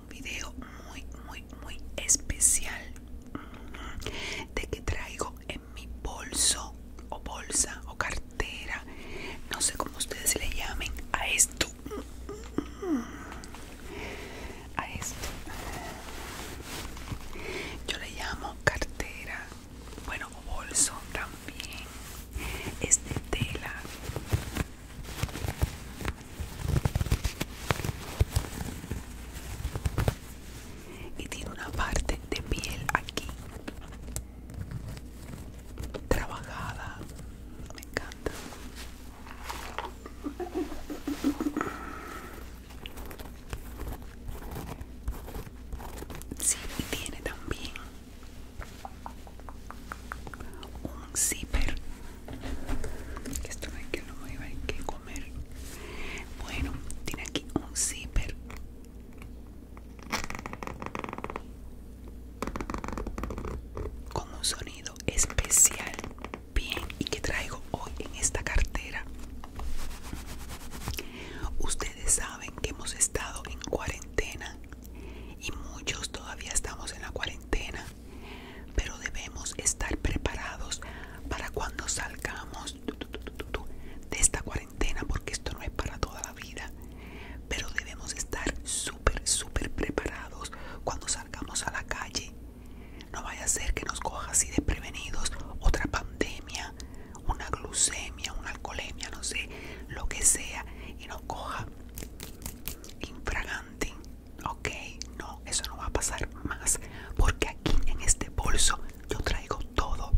un video muy muy muy especial de que traigo en mi bolso o bolsa o cartera no sé cómo ustedes le llamen a esto a esto yo le llamo cartera bueno bolso también es de tela y tiene una parte de piel aquí trabajada me encanta sí y tiene también un zipper que esto hay que a comer bueno tiene aquí un zipper con un sonido especial bien y que traigo hoy en esta cartera ustedes saben que hemos estado en cuarentena y muchos todavía estamos en la cuarentena pero debemos estar preparados para cuando salgamos de esta cuarentena, porque esto no es para toda la vida, pero debemos estar súper, súper preparados cuando salgamos a la calle. No vaya a ser que nos coja así prevenidos otra pandemia, una glucemia, una alcoholemia, no sé, lo que sea, y nos coja infragante ok, no, eso no va a pasar más, porque aquí en este bolso yo traigo todo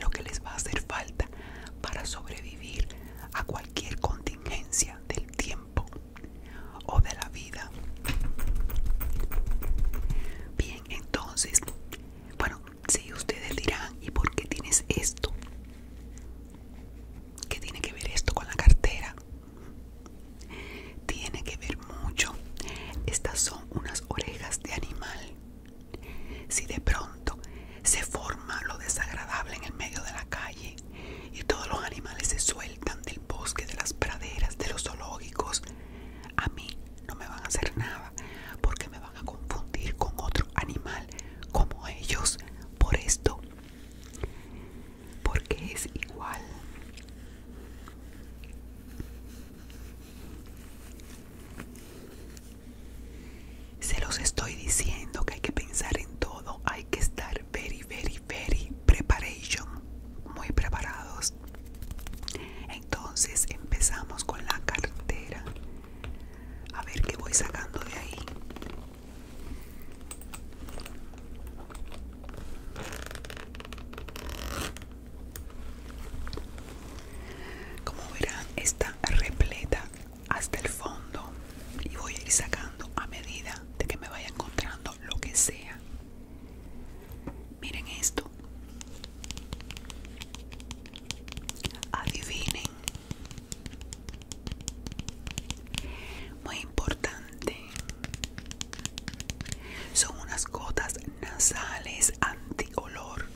lo que les va a hacer falta para sobrevivir a cualquier contingencia del tiempo o de la vida. Bien, entonces, bueno, si ustedes dirán, ¿y por qué tienes esto? ¿Qué tiene que ver esto con la cartera? Tiene que ver mucho. Estas son unas orejas de animal. Si de pronto se forma lo desagradable en el medio de la calle y todos los animales se sueltan del bosque, de las praderas, de los zoológicos, a mí no me van a hacer nada porque me van a confundir con otro animal como ellos. Por esto porque es igual se los estoy diciendo que hay que pensar en todo hay que estar very very very preparation muy preparados entonces empezamos con la cartera a ver qué voy sacando de ahí como verán, está repleta hasta el fondo y voy a ir sacando a medida de que me vaya encontrando lo que sea. Miren esto. Adivinen. Muy importante. Son unas gotas nasales anti-olor.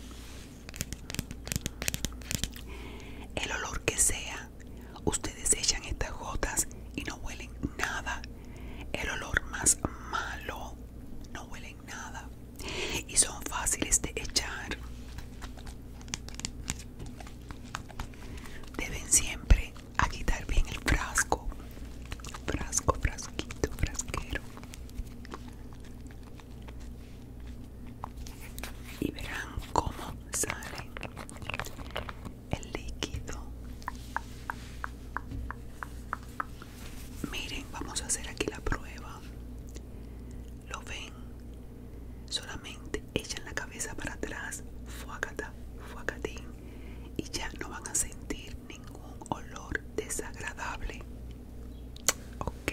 El olor que sea, ustedes echan estas gotas y no huelen nada. El olor más malo, no huelen nada. Y son fáciles de echar. Deben siempre a quitar bien el frasco frasco frasquito frasquero y verán cómo sale el líquido miren vamos a hacer aquí la prueba lo ven solamente echan la cabeza para atrás, fuacata, fuacatín, y ya no van a sentir ningún olor desagradable. Ok,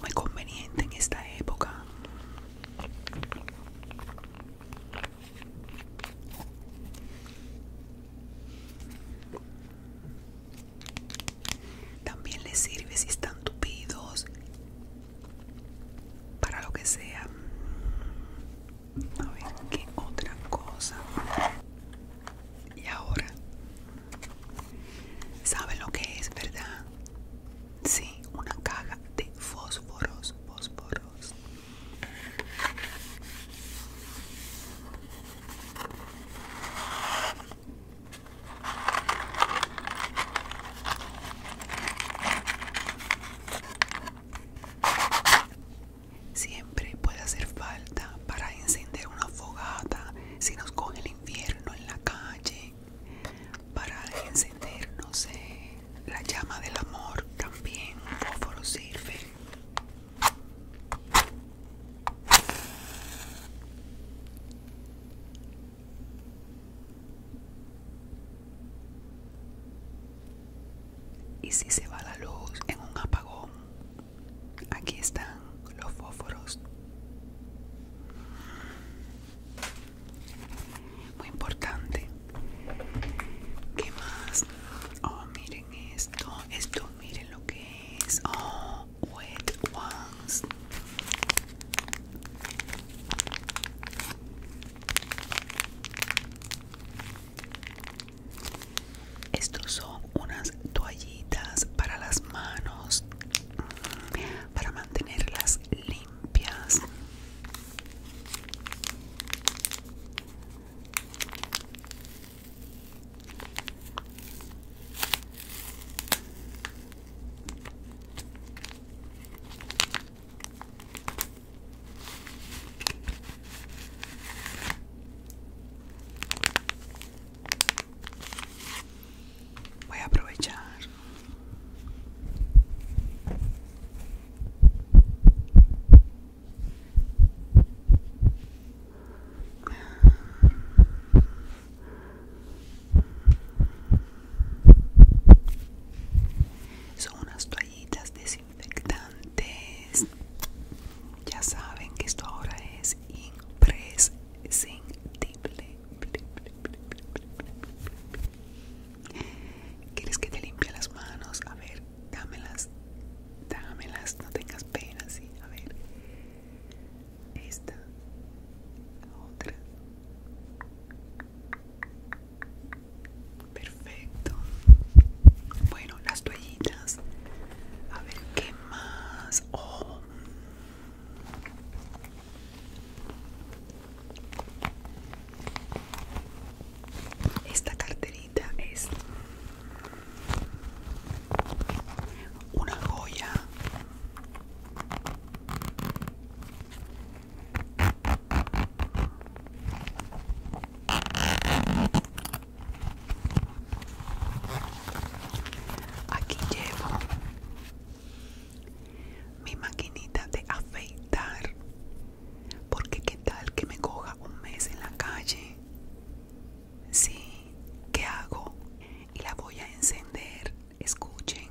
muy conveniente en esta época. También les sirve si están tupidos, para lo que sea a ver qué otra cosa y ahora saben lo que es verdad sí una caja de fósforos fósforos Siempre puede hacer falta para encender una fogata si nos coge el infierno en la calle, para encender, no sé, la llama del amor también, fósforo sirve. Y si se va la luz en un apagón, aquí están los fósforos. Muy importante. ¿Qué más? Oh, miren esto. Esto, miren lo que es. Oh, wet ones. Estos son unas toallitas para las manos mm, para mantenerlas limpias. Voy a aprovechar. Son unas toallitas desinfectantes. Ya saben que esto ahora es imprescindible. ¿Quieres que te limpie las manos? A ver, dámelas. Dámelas, no tengas pena, sí. A ver. Esta. otra. Perfecto. Bueno, las toallitas. A ver qué más. Oh. Esta carterita es una joya. Aquí llevo mi maquinita de afeitar. Porque qué tal que me coja un mes en la calle. Sí, ¿qué hago? Y la voy a encender. Escuchen.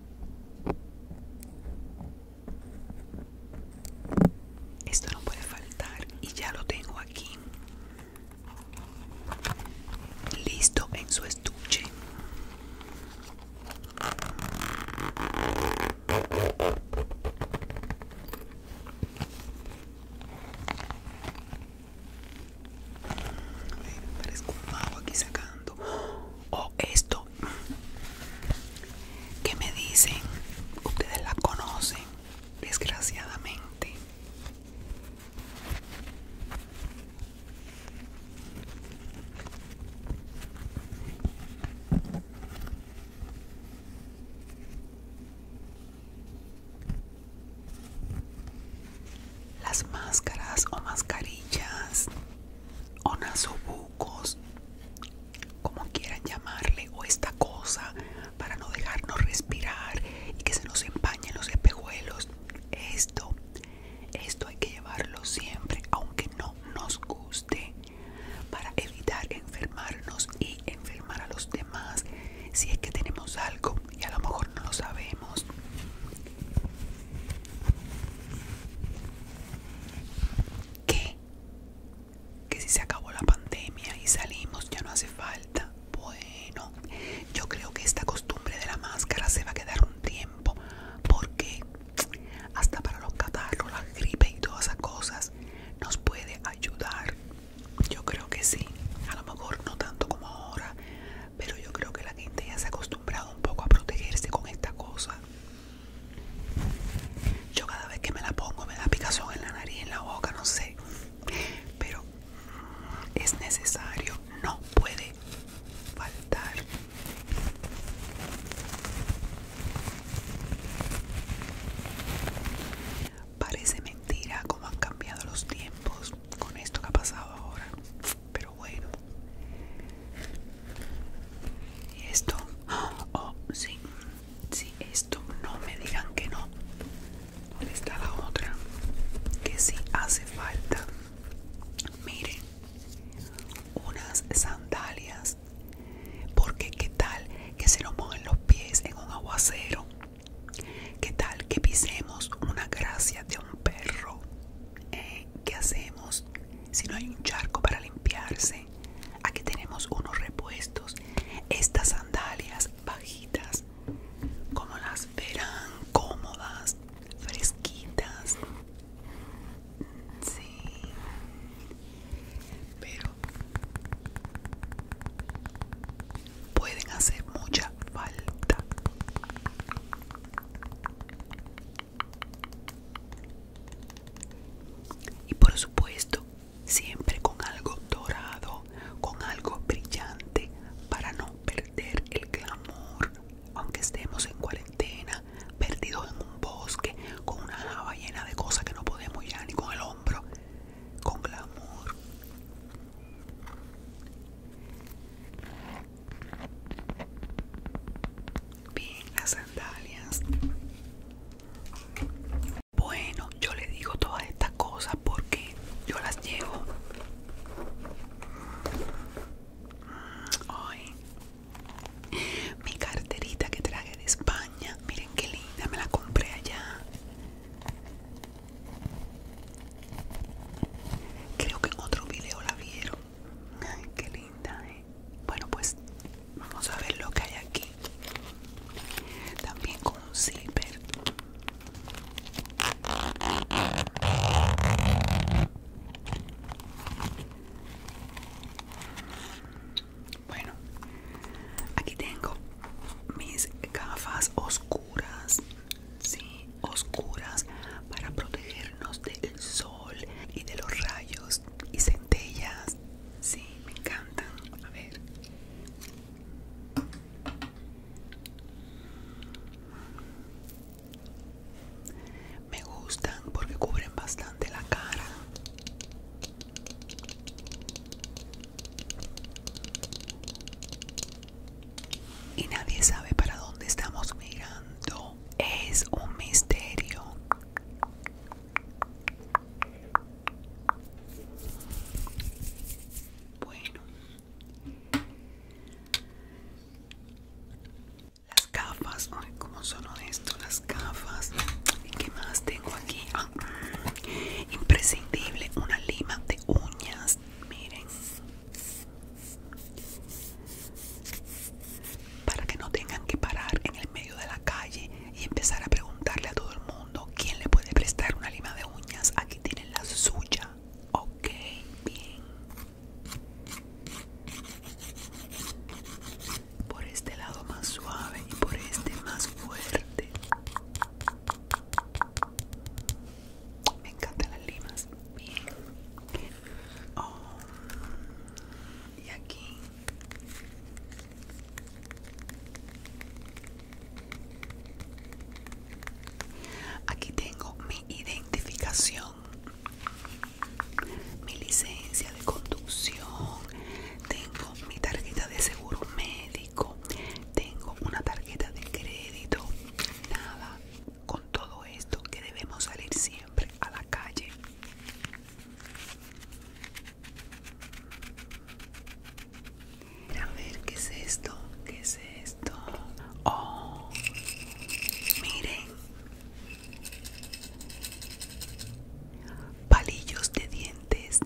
esto no puede faltar y ya lo tengo aquí. Listo en su estuche un mago aquí sacando. O oh, esto que me dicen, ustedes la conocen, desgraciadamente las máscaras o mascarillas o nasobucos, como quieran llamarle, o esta cosa para no dejarnos respirar y que se nos empañen los espejuelos. Esto, esto hay que llevarlo siempre, aunque no nos guste, para evitar enfermarnos y enfermar a los demás si es que tenemos algo y a lo mejor no lo sabemos. ¿Qué? Que si se acabó la pandemia y salimos ya no hace falta. Bueno, yo creo que esta costumbre de la máscara se va a quedar un tiempo porque hasta para los catarros, la gripe y todas esas cosas nos puede ayudar. Yo creo que sí. A lo mejor no tanto como ahora, pero yo creo que la gente ya se ha acostumbrado un poco a protegerse con esta cosa. Yo cada vez que me la pongo me da picazón en la nariz, en la boca, no sé. Pero es necesario, no puede faltar. Parece mentira cómo han cambiado los tiempos con esto que ha pasado ahora. Pero bueno. Y esto. ¡ah! Oh, esto. No me digan que no. ¿Dónde está la otra? Que si hace falta. Miren. Unas sandalias. Porque qué tal que se lo pongan los pies en un aguacero. ¿Qué tal que pisemos una gracia de un perro? ¿Eh? ¿qué hacemos? Si no hay un charco para limpiarse, aquí tenemos unos repuestos. Estas sandalias bajitas, como las verán, cómodas, fresquitas. Sí, pero pueden hacer mucha falta. Y por supuesto, siempre con algo dorado, con algo brillante, para no perder el glamour, aunque estemos en cuarentena, perdidos en un bosque, con una java llena de cosas que no podemos ya ni con el hombro, con glamour. Bien, las sandalias. Bueno, yo le digo todas estas cosas porque yo las llevo. Ay. Mi carterita que traje de España, miren qué linda, me la compré allá. Creo que en otro video la vieron. Ay, qué linda, eh. Bueno, pues vamos a ver lo que hay aquí. También con un slipper Bueno, aquí tengo mis gafas oscuras sí, oscuras para protegernos del sol y de los rayos y centellas. Sí, me encantan. A ver. Me gustan porque cubren bastante la cara y nadie sabe para dónde estamos mirando. Es un misterio. Bueno. Las gafas, ay, como son esto, las gafas. ¿Y qué más tengo aquí? Ah, imprescindible, una lima de uñas. Miren, para que no tengan que parar en el medio de la calle y empezar a preguntarle a todo el mundo quién le puede prestar una lima de uñas. Aquí tienen la suya. Ok, bien. Por este lado más suave y por este más fuerte. Me encantan las limas. Bien. Oh. Y aquí. Aquí tengo mi identificación, mi licencia de conducción, tengo mi tarjeta de seguro médico, tengo una tarjeta de crédito, nada, con todo esto que debemos salir siempre a la calle. A ver, ¿qué es esto? ¿Qué es esto? Oh, miren. Palillos de dientes.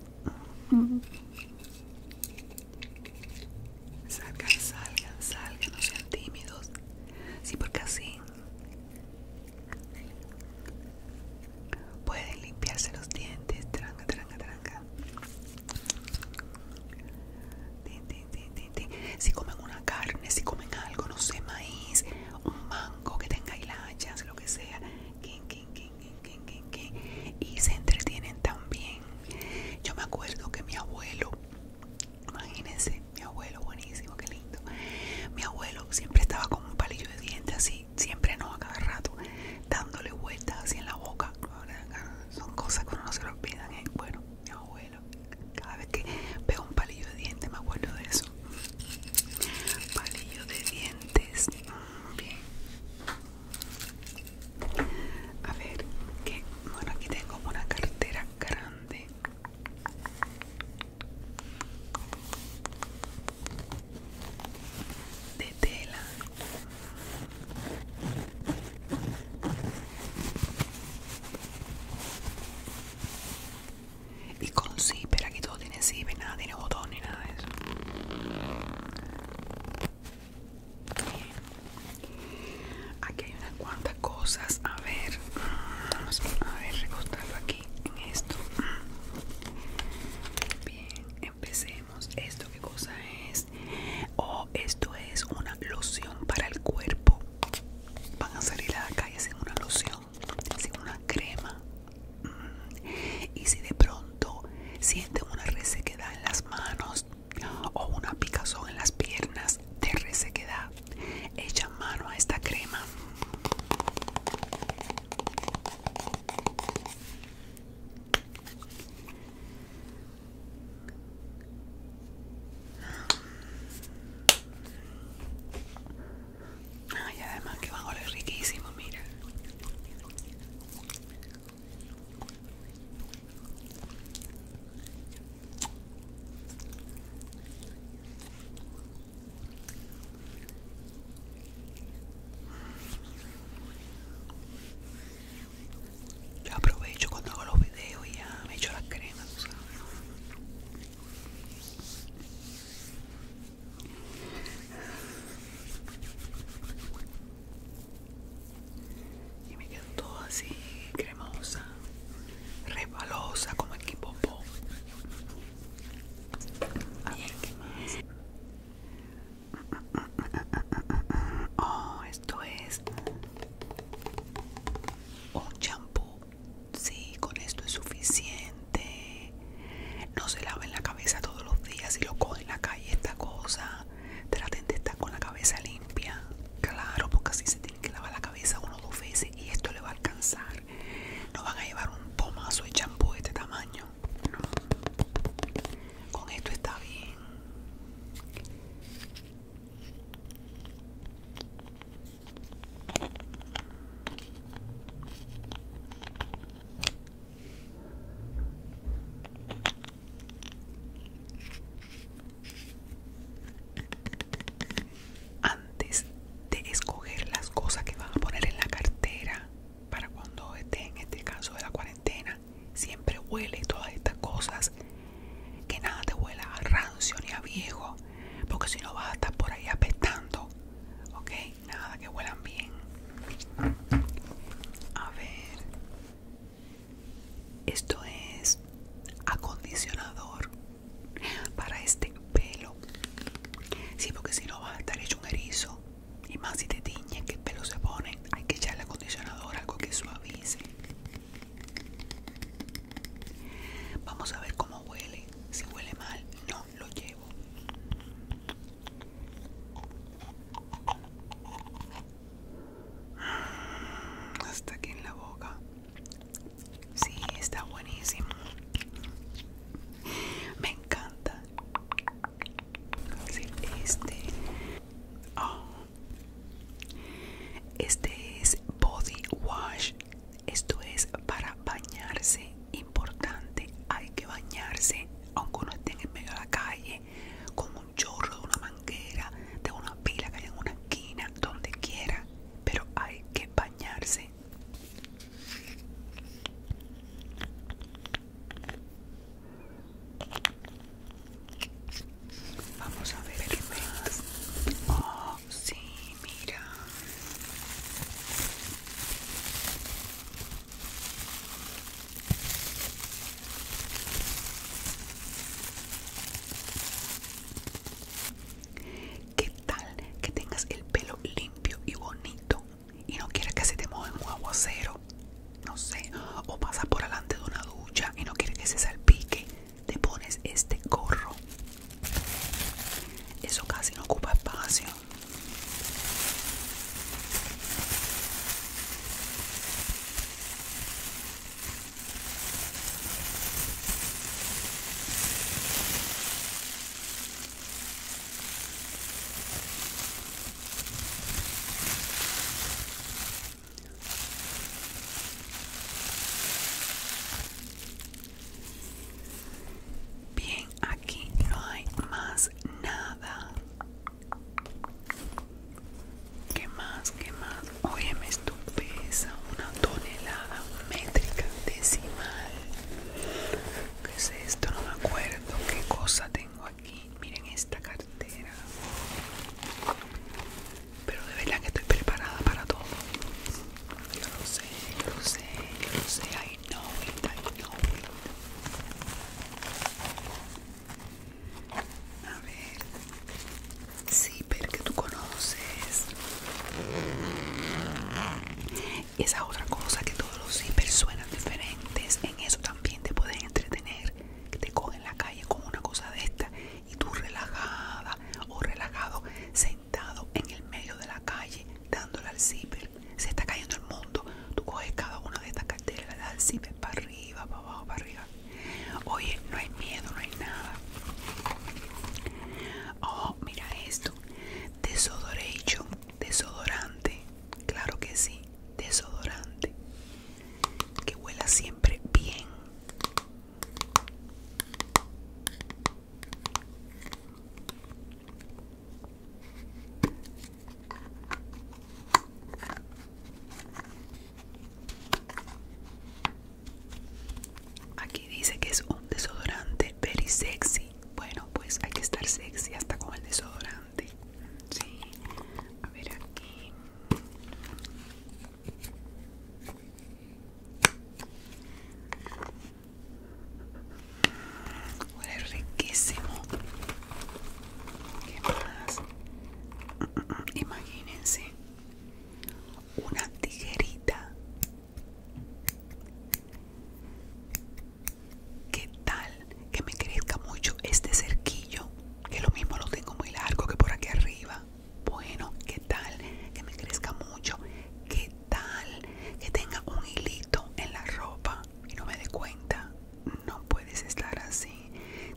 Salgan, salgan, salgan, no sean tímidos. Sí, porque así pueden limpiarse los dientes. Tranca, tranca, tranca. Si comen una carne, si comen algo, no sé, maíz, un mango que tenga hilachas, lo que sea. Y se entretienen también. Yo me acuerdo que mi abuelo Imagínense, mi abuelo, buenísimo, qué lindo. Mi abuelo siempre estaba con un palillo de dientes así, siempre no, a cada rato, dándole vueltas así en la boca. Son cosas que uno no se lo olvida ¿eh? Bueno, mi abuelo, cada vez que veo un palillo de dientes me acuerdo de eso. Palillo de dientes, mm, bien. A ver, que bueno, aquí tengo una cartera grande. De tela. Y con zipper, aquí todo tiene zipper, nada tiene botón ni nada de eso. Aquí hay unas cuantas cosas. A ver, a ver, recostarlo aquí en esto. Bien, empecemos. ¿Esto qué cosa es? Oh, esto es una loción para el cuerpo. Van a salir a la calle sin una loción, sin una crema. Mm. Y si de pronto sienten una resequedad en las manos, o una picazón en las piernas de resequedad, echa mano a esta crema. y además que va a oler riquísimo, mira. Yo aprovecho cuando hago los videos y ya me echo las cremas, y me quedo todo así cremosa, rebalosa como el kipopó. Oh, esto es un champú. Sí, con esto es suficiente. No se lava en la cabeza todos los días y lo coge en la calle esta cosa traten de estar con la cabeza limpia, claro, porque así se tiene que lavar la cabeza uno o dos veces y esto le va a alcanzar. No van a llevar un pomazo de champú de este tamaño. Con esto está bien. Antes de escoger las cosas que vas a poner en la cartera para cuando esté en este caso de la cuarentena, siempre huele todas estas cosas. Que nada te huela a rancio ni a viejo, porque si no vas a estar por ahí apestando. Ok, nada que huelan bien. A ver, esto es acondicionador para este pelo. Sí, porque si no va a estar hecho un erizo. Y más si te tiñe que el pelo se pone, hay que echarle acondicionador, algo que suavice. Vamos a ver cómo huele. Si huele mal, no lo llevo hasta aquí en la boca. si está buenísimo. Me encanta. este. Oh, este es body wash. Esto es para bañarse. Importante, hay que bañarse, aunque uno esté en medio de la calle, como chorro, de una manguera, de una pila que hay en una esquina, donde quiera, pero hay que bañarse. Vamos a ver más. Oh, sí, mira. ¿Qué tal que tengas el pelo limpio y bonito y no quieres que se te mueva un aguacero? No sé, o pasas por delante de una ducha y no quieres que se salpique, te pones este gorro. Eso casi no ocupa espacio. Bien, aquí no hay más nada. ¿Qué más? ¿Qué más? Oye, me estupeza una tonelada métrica decimal. ¿Qué es esto? No me acuerdo qué cosa tengo aquí. Miren esta cartera. Pero de verdad que estoy preparada para todo. Yo lo sé, yo sé, yo sé. I know I know a ver. Sí, que tú conoces. Esa otra cosa que todos los zippers suenan diferentes. En eso también te pueden entretener. Que te cogen la calle con una cosa de esta. Y tú relajada o relajado, sentado en el medio de la calle, dándole al zipper. Se está cayendo el mundo. Tú coges cada una de estas carteras, le das al zipper para arriba, para abajo, para arriba. Oye, no hay miedo, no hay nada. Oh, mira esto. Desodoration, desodorante. Claro que sí, desodorante. Que huela siempre bien. Aquí dice que es un desodorante very sexy. Bueno, pues hay que estar sexy hasta con el desodorante. Sí. A ver aquí. Huele riquísimo. ¿Qué más? Mm, mm, mm, imagínense una tijerita. ¿Qué tal que me crezca mucho este cerquillo? Que lo mismo lo tengo muy largo que por aquí arriba. Bueno, ¿qué tal que me crezca mucho? ¿Qué tal que tenga un hilito en la ropa y no me dé cuenta? No puedes estar así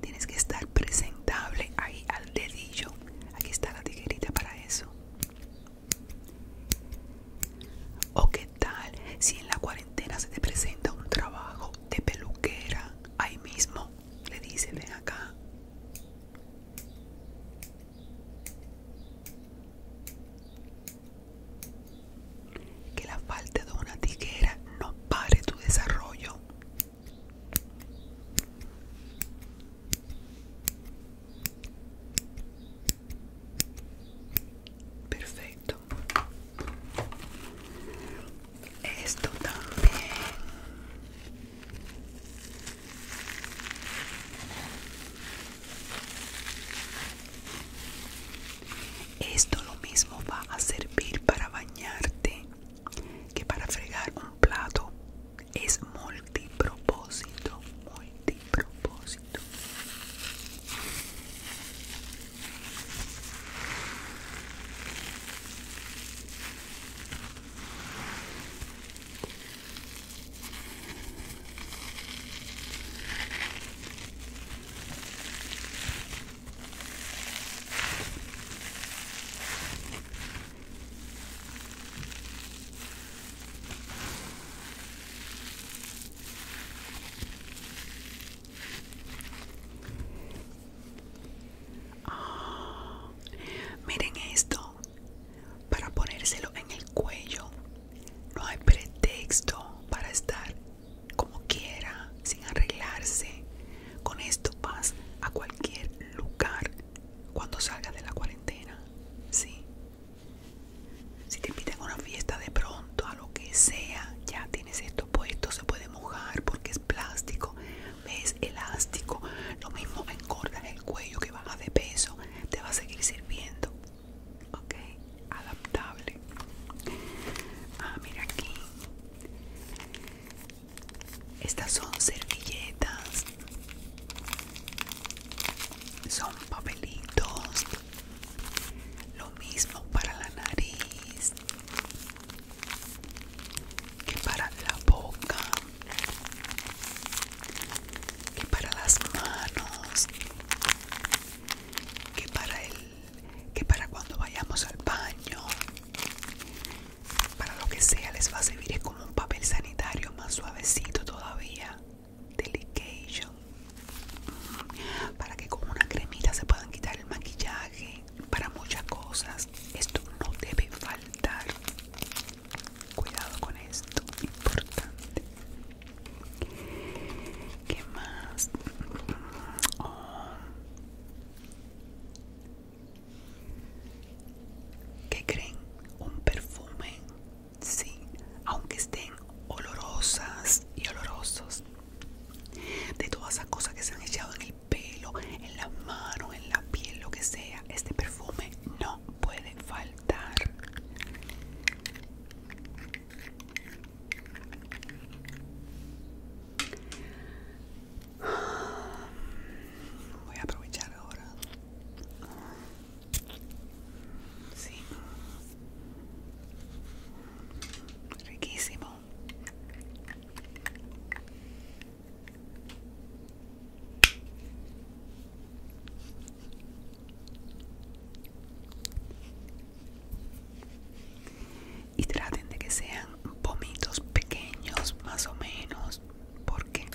tienes que estar presentable ahí al dedillo aquí está la tijerita para eso o qué tal si en la cuarentena se te presenta un trabajo de peluquera ahí mismo le dice ven acá que la falta de una tijera no pare tu desarrollo Perfecto. Esto también. Esto lo mismo va a servir para bañarte que para fregar un plato es multipropósito, multipropósito. Ah, miren esto, para ponérselo en el cuello no hay pretexto para estar como quiera, sin arreglarse, con esto vas a cualquier lugar cuando salgas de la cuarentena, ¿sí? Si te invitan a una fiesta de pronto, a lo que sea, ya tienes esto puesto, se puede mojar porque es plástico, es elástico, lo mismo encordas el cuello que baja de peso, te va a seguir sirviendo, ¿ok? Adaptable. Ah, mira aquí. Estas son servilletas. Son papelitos. Lo mismo para la nariz que para la boca, que para las manos, que para el que para cuando vayamos al baño, para lo que sea les va a servir como un papel sanitario más suavecito todavía Delication. para que con una cremita se puedan quitar el maquillaje para muchas cosas esto no debe faltar cuidado con esto importante ¿Qué más? Oh. ¿Qué creen? Un perfume, sí, aunque estén olorosas y olorosos. De todas esas cosas que se han echado en el pelo, en las manos, en la piel, lo que sea, este perfume no puede faltar. Voy a aprovechar ahora. Sí. Riquísimo y traten de que sean vomitos pequeños más o menos porque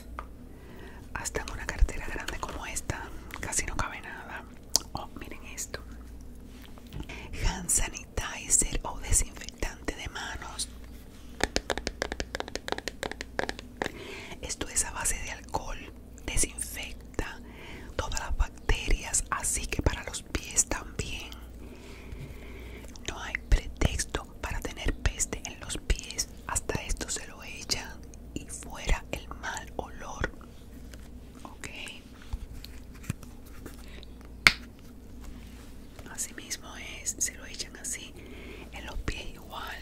hasta en una cartera grande como esta casi no cabe nada oh miren esto hand sanitizer o desinfectante de manos esto es a base de alcohol desinfecta todas las bacterias así que para los pies también no hay pretexto para tener peste en los pies, hasta esto se lo echan y fuera el mal olor. Ok. Así mismo es, se lo echan así, en los pies igual.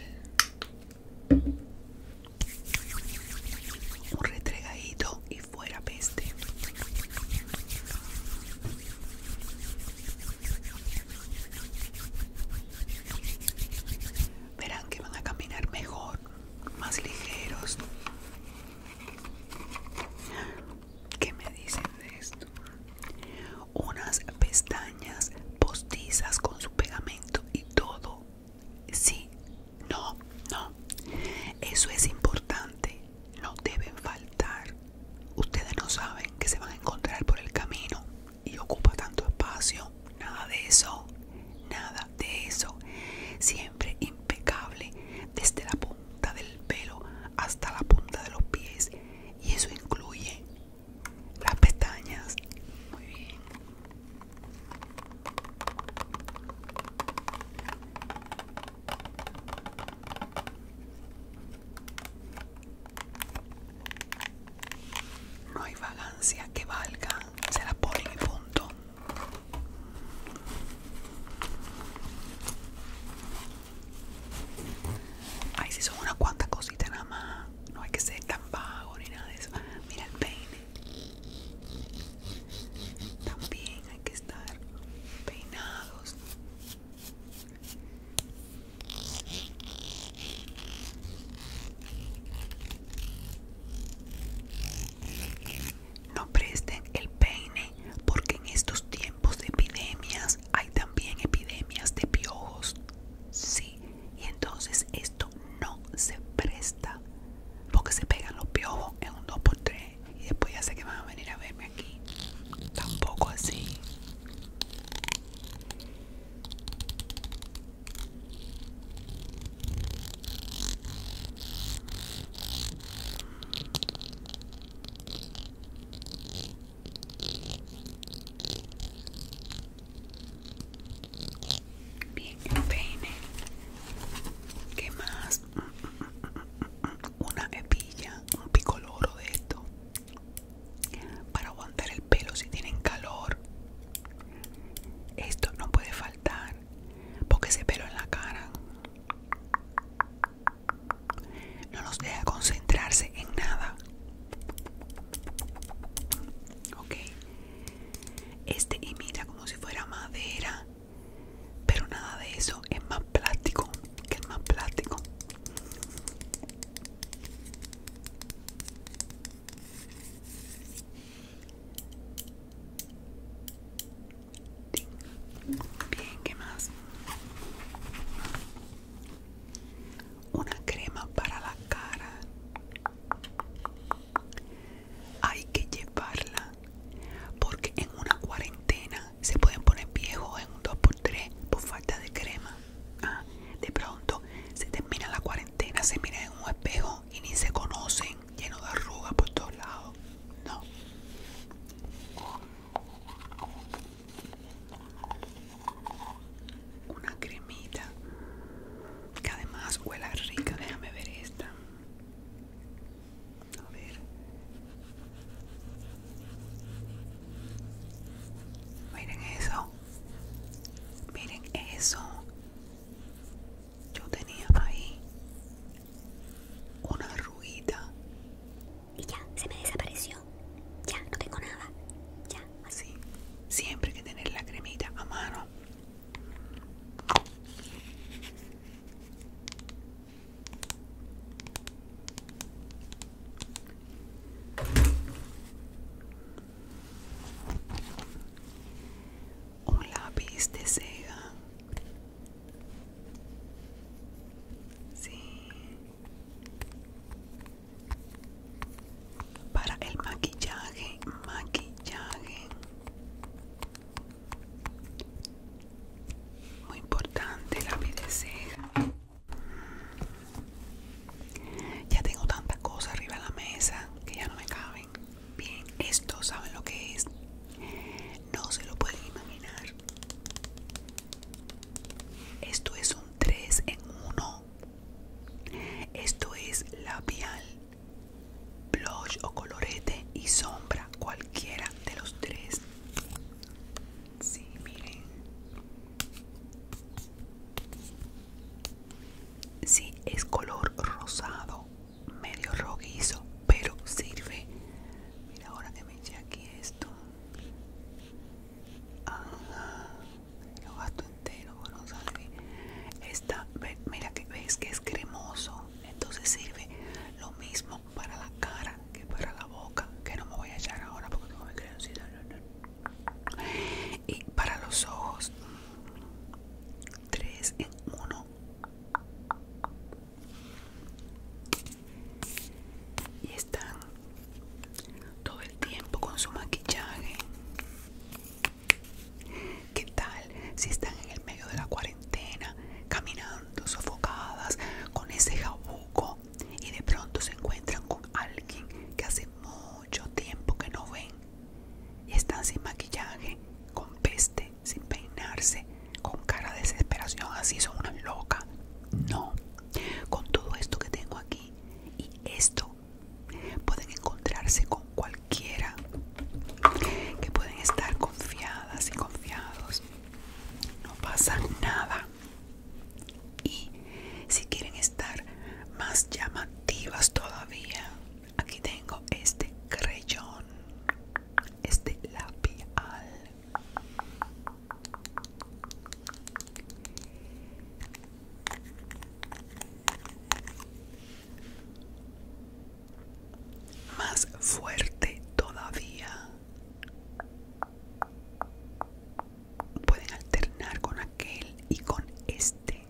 Un retregadito y fuera peste. Verán que van a caminar mejor, más ligeros. ¿Qué me dicen de esto? Unas pestañas postizas con su pegamento y todo. Sí, no, no. Eso es importante no deben faltar. Ustedes no saben que se van a encontrar por el camino y ocupa tanto espacio. Nada de eso, nada de eso. Siempre impecable, desde la punta del pelo hasta la punta de los pies. Y eso incluye las pestañas. Muy bien. No hay vagancia que valga, se la ponen y punto. Ahí si son unas cuantas cositas nada más. No hay que ser tan vago ni nada de eso. Mira el peine. También hay que estar peinados. No presten el peine porque en estos tiempos de epidemias hay también epidemias de piojos. Sí, y entonces esto no se presta porque se pegan los piojos en un 2x3 y después ya sé que van a venir a verme aquí. Tampoco así. Bien, no peine. ¿Qué más? una hebilla, un picoloro de esto para aguantar el pelo si tienen calor. Esto no puede faltar porque ese pelo en la cara no nos deja concentrarse en nada. Ok, este imita como si fuera madera pero nada de eso es más plástico que más plástico. Bien, ¿qué más? Una crema para la cara. Hay que llevarla porque en una cuarentena se pueden poner viejos en un 2x3 por falta de crema. Ah, de pronto se termina la cuarentena, se miran en un espejo y ni se conocen, lleno de arrugas por todos lados. No. Una cremita que además huela rica. Déjame ver esta. A ver. Miren eso. Miren eso. Yo tenía ahí una ruita. Y ya, se me desapareció. Ya, no tengo nada. Ya. Así. Siempre hay que tener la cremita a mano un lápiz de seda sí. para el maquillaje maquillaje muy importante la ceja. Ya tengo tanta cosa arriba de la mesa que ya no me caben. Bien, esto saben lo que es. No se lo pueden imaginar. Esto es un 3 en 1. Esto es labial, blush o colorete y sombra, cualquiera de los tres. Sí, miren. Sí, es color rosado, medio roguizo, pero sirve. Mira, ahora que me eché aquí esto. Lo gasto entero, bueno, sale. Esta, mira que ves que es cremoso, entonces sirve lo mismo para la cara que para la boca, que no me voy a echar ahora porque tengo mi creoncita. Y para los ojos, 3 en 1. Y están todo el tiempo con su maquillaje. ¿Qué tal si están en el medio de la cuarentena? caminando sofocadas con ese jabuco y de pronto se encuentran con alguien que hace mucho tiempo que no ven y están sin maquillaje, con peste, sin peinarse, con cara de desesperación, así son unas locas. No, con todo esto que tengo aquí y esto pueden encontrarse con cualquiera que pueden estar confiadas y confiados no pasa nada. Y si quieren estar más llamativas todavía, aquí tengo este creyón, este lapial Más fuerte todavía. Pueden alternar con aquel y con este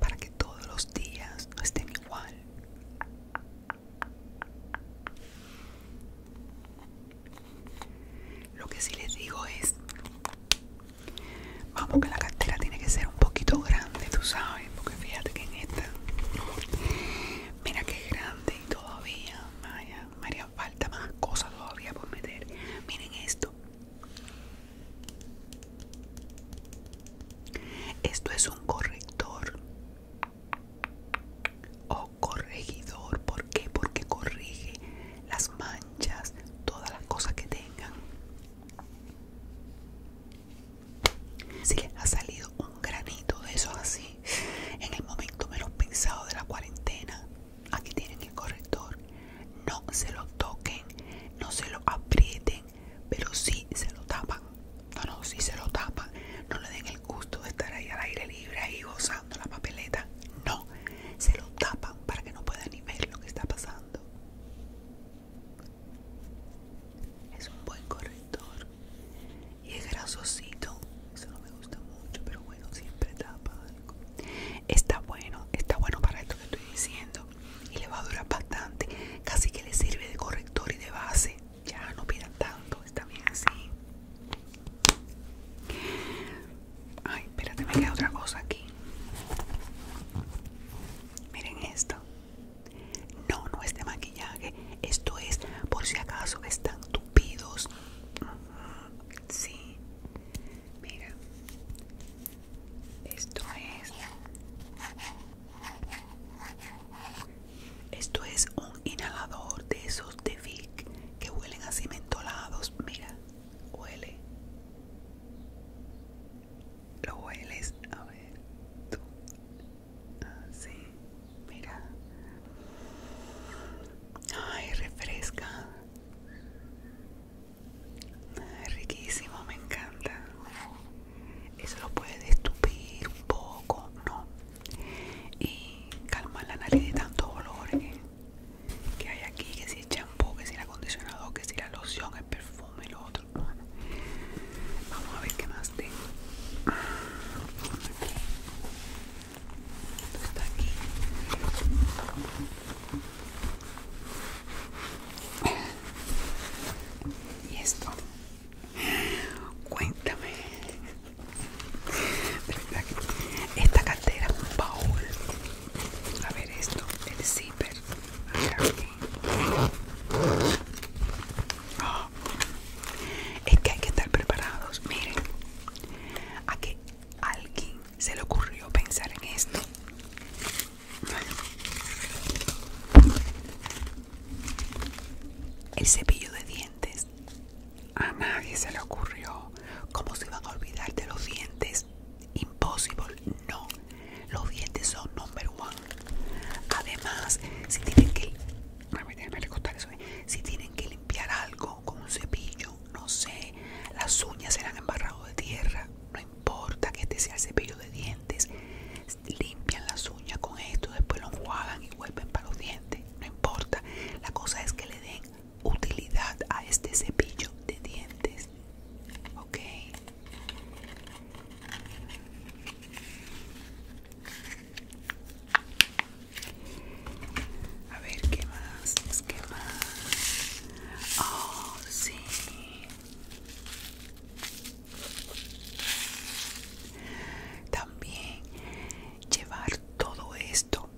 para que todos los días no estén igual. Lo que sí les digo es, vamos que la cartera tiene que ser un poquito grande, tú sabes, porque fíjate que en esta, mira que grande todavía María, María falta más cosas todavía por meter. Miren esto. Esto es un corrector o corregidor. ¿Por qué? Porque corrige las manchas, todas las cosas que tengan. Así. que ha salido un granito de eso así, en el momento menos pensado de la cuarentena, aquí tienen el corrector, no se lo toquen, no se lo aprieten, pero sí se lo tapan, no, no, si se lo tapan, no le den el gusto de estar ahí al aire libre, ahí gozando la papeleta, no, se lo tapan para que no puedan ni ver lo que está pasando. Es un buen corrector y es grasosito eso no me gusta mucho pero bueno siempre tapa está bueno está bueno para esto que estoy diciendo y le va a durar bastante casi que le sirve de corrector y de base ya no pida tanto está bien así ay espérate me queda otra cosa aquí miren esto no, no es de maquillaje. Esto es por si acaso están tupidos. Sí. Mira. Esto es. Esto es un inhalador de esos de Vic que huelen a mentolados. Mira, huele. Lo hueles. A ver. Tú. Sí, mira. Ay, refresca. riquísimo, me encanta. Eso lo puede estupir un poco, ¿no? Y calmar la nariz de tanto olor ¿eh? que hay aquí, que si el champú, que si el acondicionador, que si la loción, el perfume, lo otro. vamos a ver qué más este. y esto cuéntame esta cartera paul a ver esto el zipper ah, es que hay que estar preparados. Miren, a que alguien se le ocurrió pensar en esto. El cepillo de dientes. A nadie se le ocurrió. Como se van a olvidar de los dientes? Imposible. No. Los dientes son number one. Además, si tienen que... A le si tienen que limpiar algo con un cepillo, no sé, las uñas serán embarradas de tierra, no importa que este sea el cepillo de dientes, limpian las uñas con esto, después lo enjuagan y vuelven para los dientes, no importa. La cosa es que le den utilidad a este cepillo de dientes, ¿ok? A ver qué más, qué más. Oh, sí. También llevar todo esto,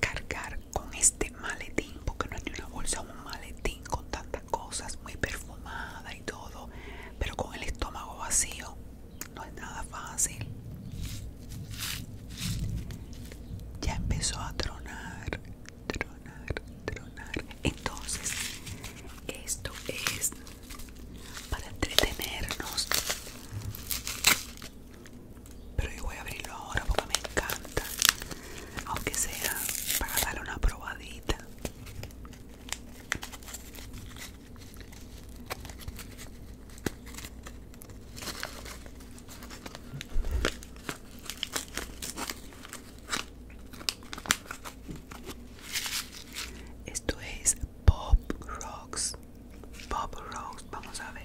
cargar con este maletín, porque no es una bolsa, un maletín con tantas cosas, muy perfumada y todo, pero con el estómago vacío no es nada fácil. Ya empezó a tronar, tronar, tronar. Entonces, esto es para entretenernos. Pero yo voy a abrirlo ahora porque me encanta. Aunque sea para darle una probadita. Esto es Bob Rocks. Bob Rocks, vamos a ver.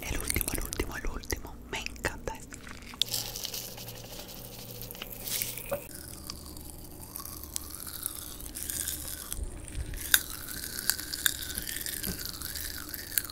El último, el último, el último. Me encanta. Este.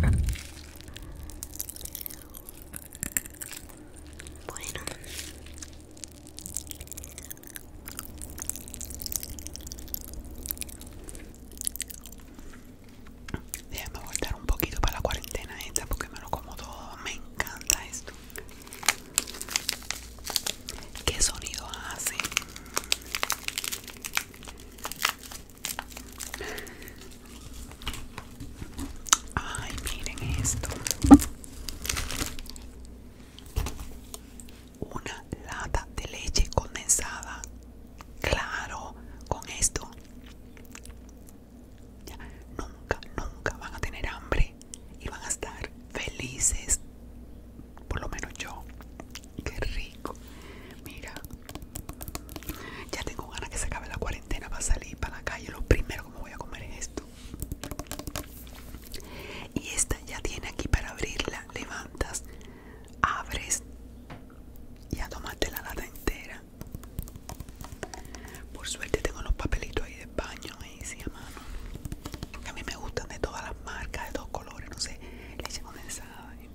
Bueno. Déjame voltar un poquito para la cuarentena esta porque me lo como todo. Me encanta esto. ¿Qué sonido hace? Ay, miren esto. Una lata de leche condensada. Claro, con esto. nunca, nunca van a tener hambre y van a estar felices. Por lo menos yo. Qué rico. Mira. Ya tengo ganas que se acabe la cuarentena para salir para la calle. Lo primero que me voy a comer es esto. Y esta ya tiene aquí para abrirla. Levantas, abres y a tomarte la lata entera. Por suerte tengo los papelitos ahí de baño, ahí sí, a mano. A mí me gustan de todas las marcas, de todos colores, no sé. Le condensada y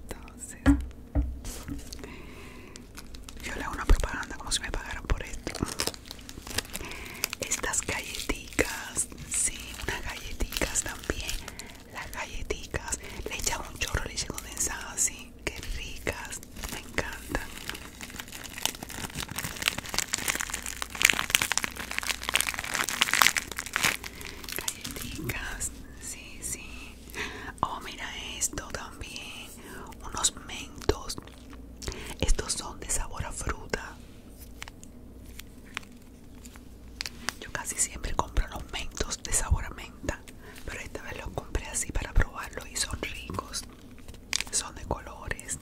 yo le hago una propaganda como si me pagaran por esto estas galleticas sí unas galleticas también las galleticas le echan un chorro leche condensada así Qué ricas me encantan galleticas sí sí Oh, mira esto también. Unos mentos. Estos son de sabor a fruta. Yo casi siempre compro los mentos de sabor a menta. Pero esta vez los compré así para probarlos y son ricos. Son de colores.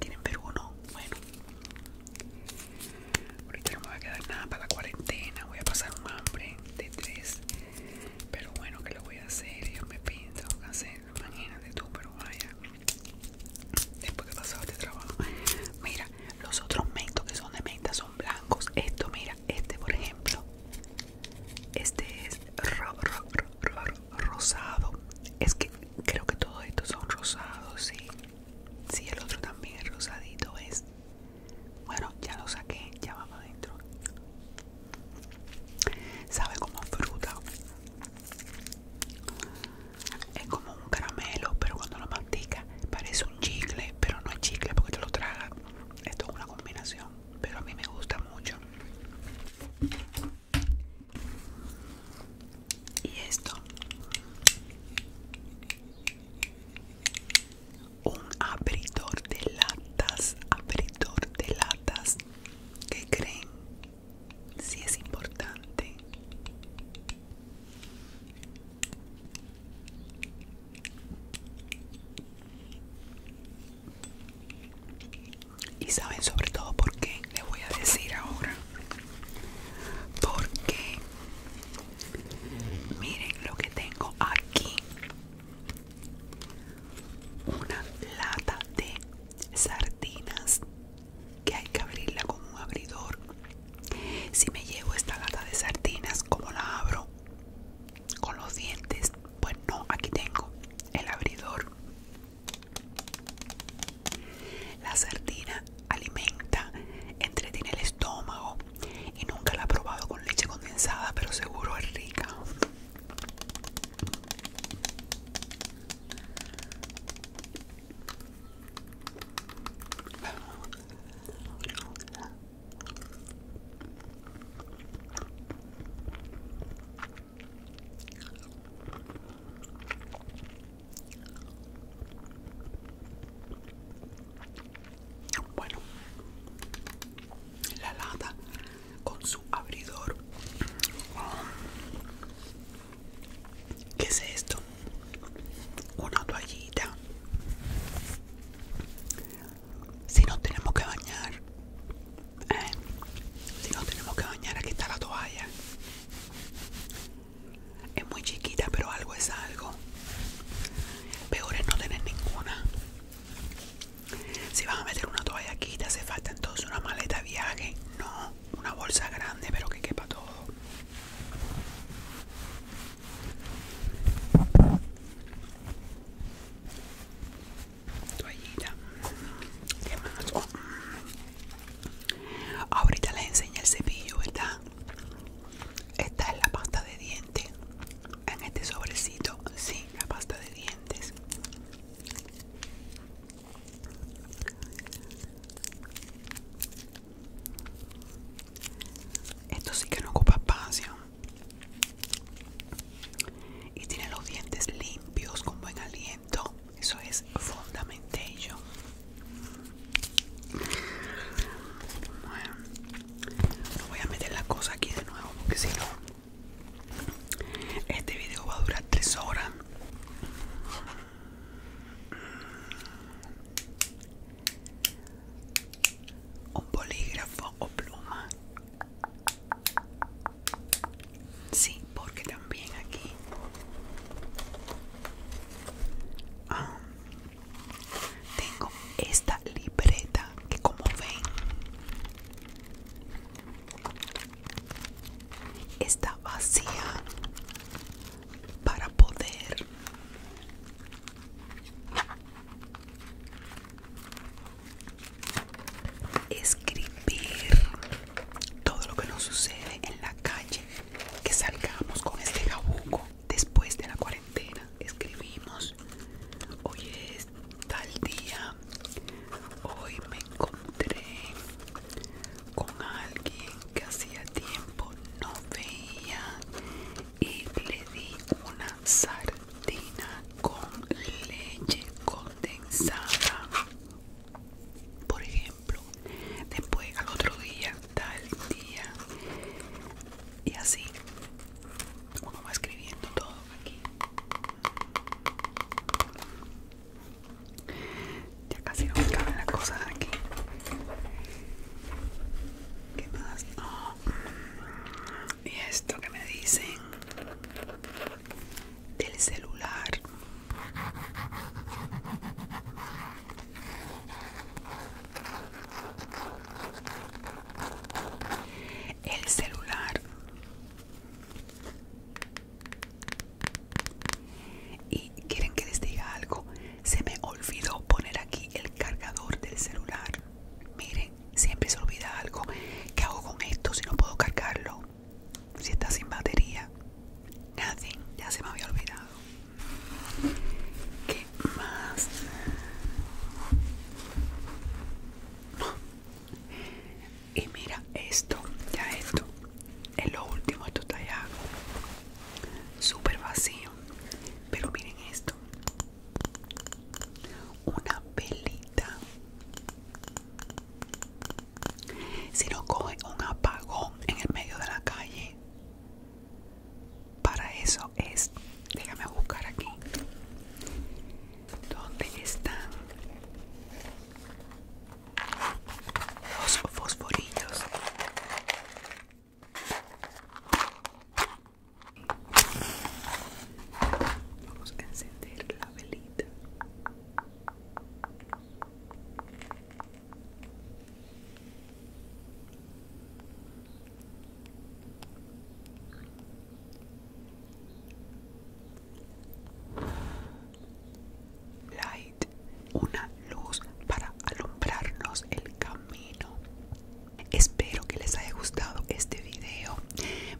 tienen ver uno? Bueno. Ahorita no me va a quedar nada para la cuarentena. Voy a pasar un hambre de tres. Pero bueno, ¿qué lo voy a hacer? Yo me pinto, que hacer. Imagínate tú, pero vaya. Después que pasado este trabajo. Mira, los otros mentos que son de menta son blancos. Esto, mira, este por ejemplo. Este es rosado. Es que creo que todos estos son rosados, sí. Sí, el otro también es rosadito, es bueno, ya lo saqué, ya vamos adentro. Sabe como fruta. Es como un caramelo, pero cuando lo masticas parece un chicle, pero no es chicle porque te lo traga. Esto es una combinación, pero a mí me gusta mucho. Y esto un abridor de latas, abridor de latas. que creen? Si es importante. Y saben sobre todo por qué, les voy a decir ahora. Porque Miren lo que tengo aquí. Una lata de sardinas que hay que abrirla con un abridor. Si me llevo esta lata de sardinas, ¿cómo la abro? Con los dientes. Pues no, aquí tengo el abridor. La sardina alimenta, entretiene el estómago y nunca la ha probado con leche condensada, pero seguro es rica. Bueno, la lata con su abridor. ¿Qué es esto? Una toallita. Si nos tenemos que bañar, ¿eh? si nos tenemos que bañar, aquí está la toalla. Es muy chiquita, pero algo es algo. Peor es no tener ninguna. Si vas a meter una toalla aquí, se hace falta entonces una maleta viaje. No, una bolsa grande, pero que quepa todo. Toallita. ¿Qué más? Oh, mm. Ahorita les enseño el cepillo, ¿verdad? Esta es la pasta de dientes. En este sobrecito, sí, la pasta de dientes. Esto sí que no ocupa espacio. Y tiene los dientes limpios, con buen aliento. Eso es Fundamentation. Bueno, no voy a meter la cosa aquí de nuevo porque si no, este video va a durar 3 horas. Un bolígrafo o pluma. Sí, porque también aquí. Ah, tengo esta libreta que como ven está vacía para poder escribir todo lo que nos sucede en la calle que salgamos con este jabuco después de la cuarentena escribimos hoy es tal día hoy me encontré con alguien que hacía tiempo no veía y le di una sartina con leche condensada por ejemplo después al otro día tal día y así como va escribiendo todo aquí ya casi no me la la cosa aquí ¿Qué más? Oh. Y esto que me dicen del celular. El celular y quieren que les diga algo se me olvidó poner aquí el cargador del celular miren siempre se olvida algo ¿qué hago con esto si no puedo cargarlo? si está sin batería nothing ya se me había olvidado ¿Qué más? Y mira esto, ya esto, es lo último, esto está ya súper vacío. Pero miren esto. Una pelita. Si no coge un apagón en el medio de la calle, para eso es déjame buscar aquí dónde están los fosforillos vamos a encender la velita Light, una luz para alumbrarnos el camino. Espero que les haya gustado este video.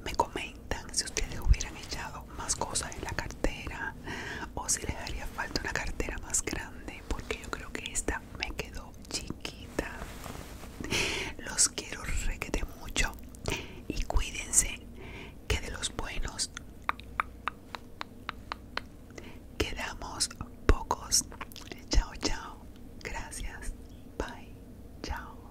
Me comentan si ustedes hubieran echado más cosas en la cartera o si les haría falta una cartera más grande porque yo creo que esta me quedó chiquita. Los quiero requete mucho y cuídense que de los buenos quedamos pocos. Chao, chao. Gracias. Bye. Chao.